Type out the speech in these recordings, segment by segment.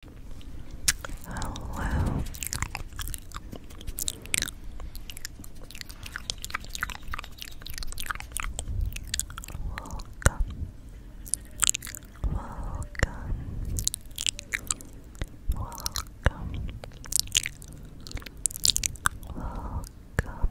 Hello. Welcome. Welcome. Welcome. Welcome.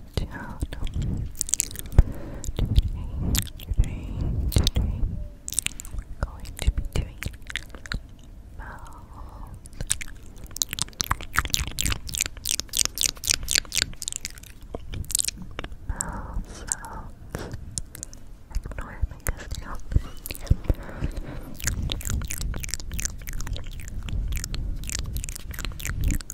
down today, today, today going to be doing mouth mouth sounds ignore my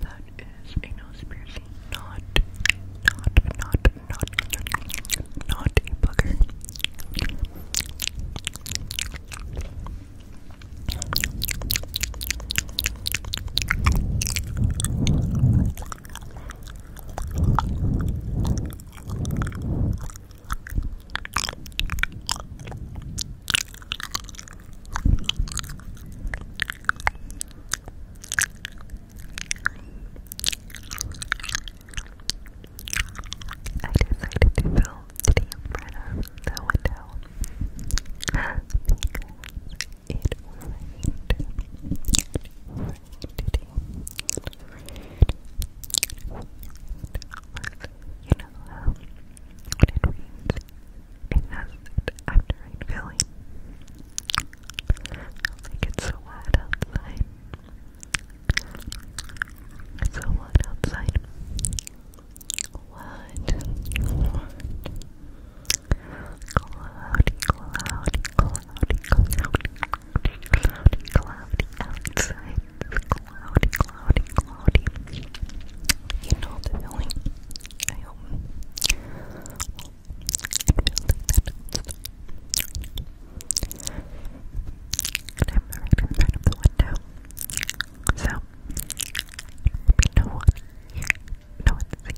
That is a nose piercing, not, not, not, not, not a booger. I decided to film the umbrella right the window because it rained. You know how it rains, it has it after rain filling. Like so hot outside. It's so hot outside. What? What? Cloudy, cloudy, cloudy, cloudy, cloudy, cloudy outside cloudy, cloudy, cloudy. You know the feeling. I hope. Well, and I'm right in front of the window. So, no one here. No one sees that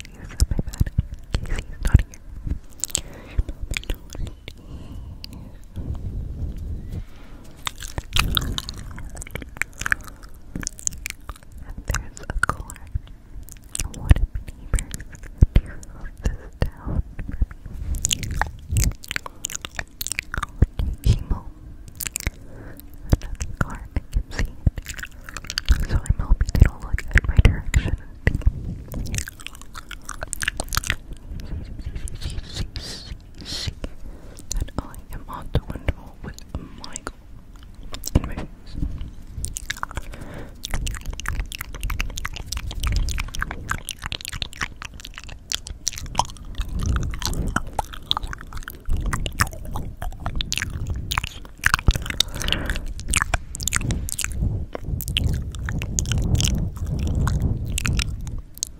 my bed. Casey's not here. No one sees there's a caller. What neighbors do you love this town Another car, I can see it. So I'm hoping they don't look at my direction see that I am on the wonderful with Michael in my face. I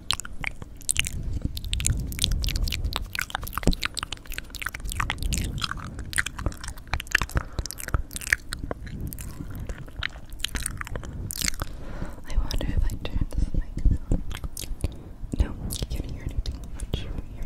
wonder if I turn this mic on. No, you can't hear anything. I'm sure we hear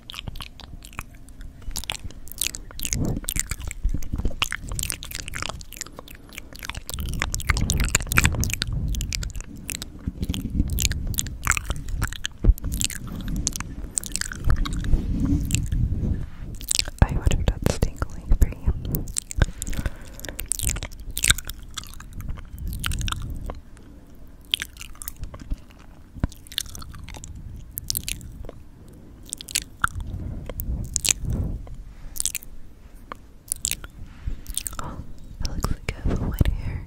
I would have done stingling for you it looks like I have white hair.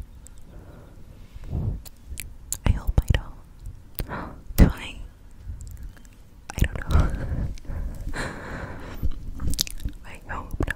I hope I don't. Do I? I don't know. I hope not.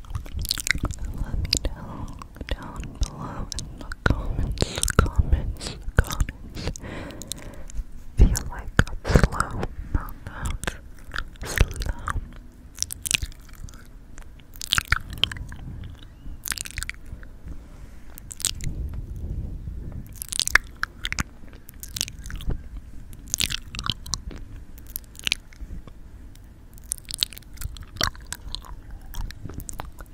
Let me know down below in the comments, comments, comments. Feel like a slow out. Slow.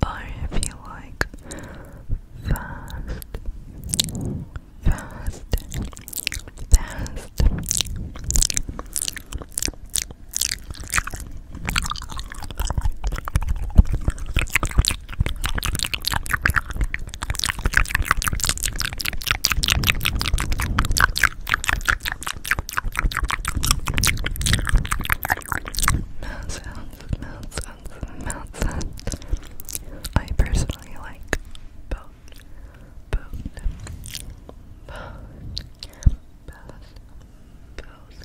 Or if you like fast, fast, fast. Mouth sounds, mouth sounds, mouth sounds. I personally like both, both, both, both. Both,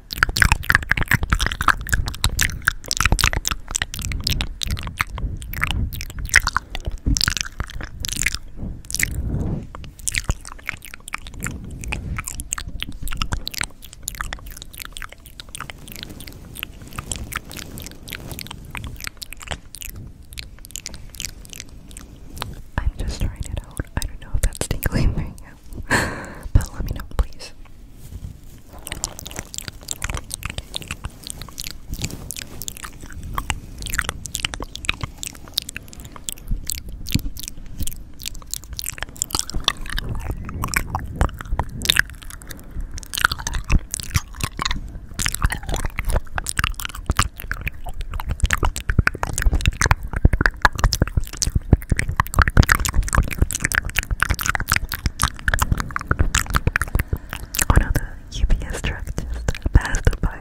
I'm just trying it out. I don't know if that's tingling but let me know, please. Oh no, the UPS truck just passed by.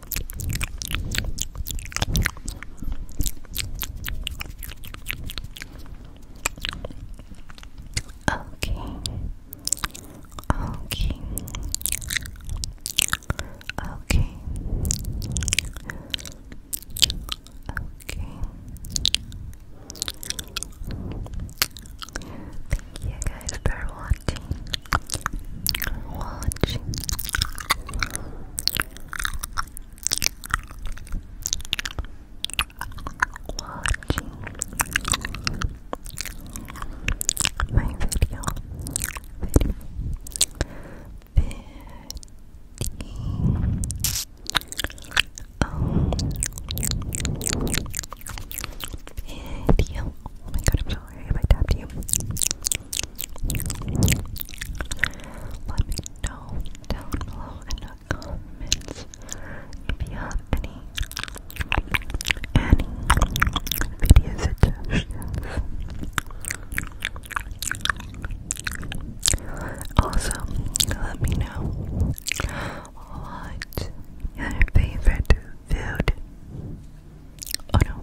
Okay. Okay. Okay. Okay. Thank you guys for watching. Watching watching my video, video, video. Oh. my god, I'm sorry if I tapped you. Let me know down below in the comments if you have any any video suggestions. Also, let me know what your favorite food. Oh no.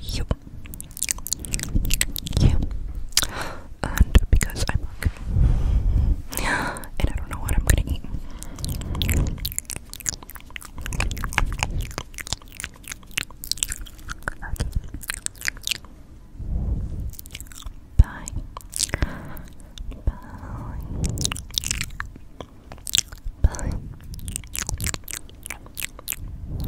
you, you, and because I'm and I don't know what I'm gonna eat. Bye. Bye. Bye.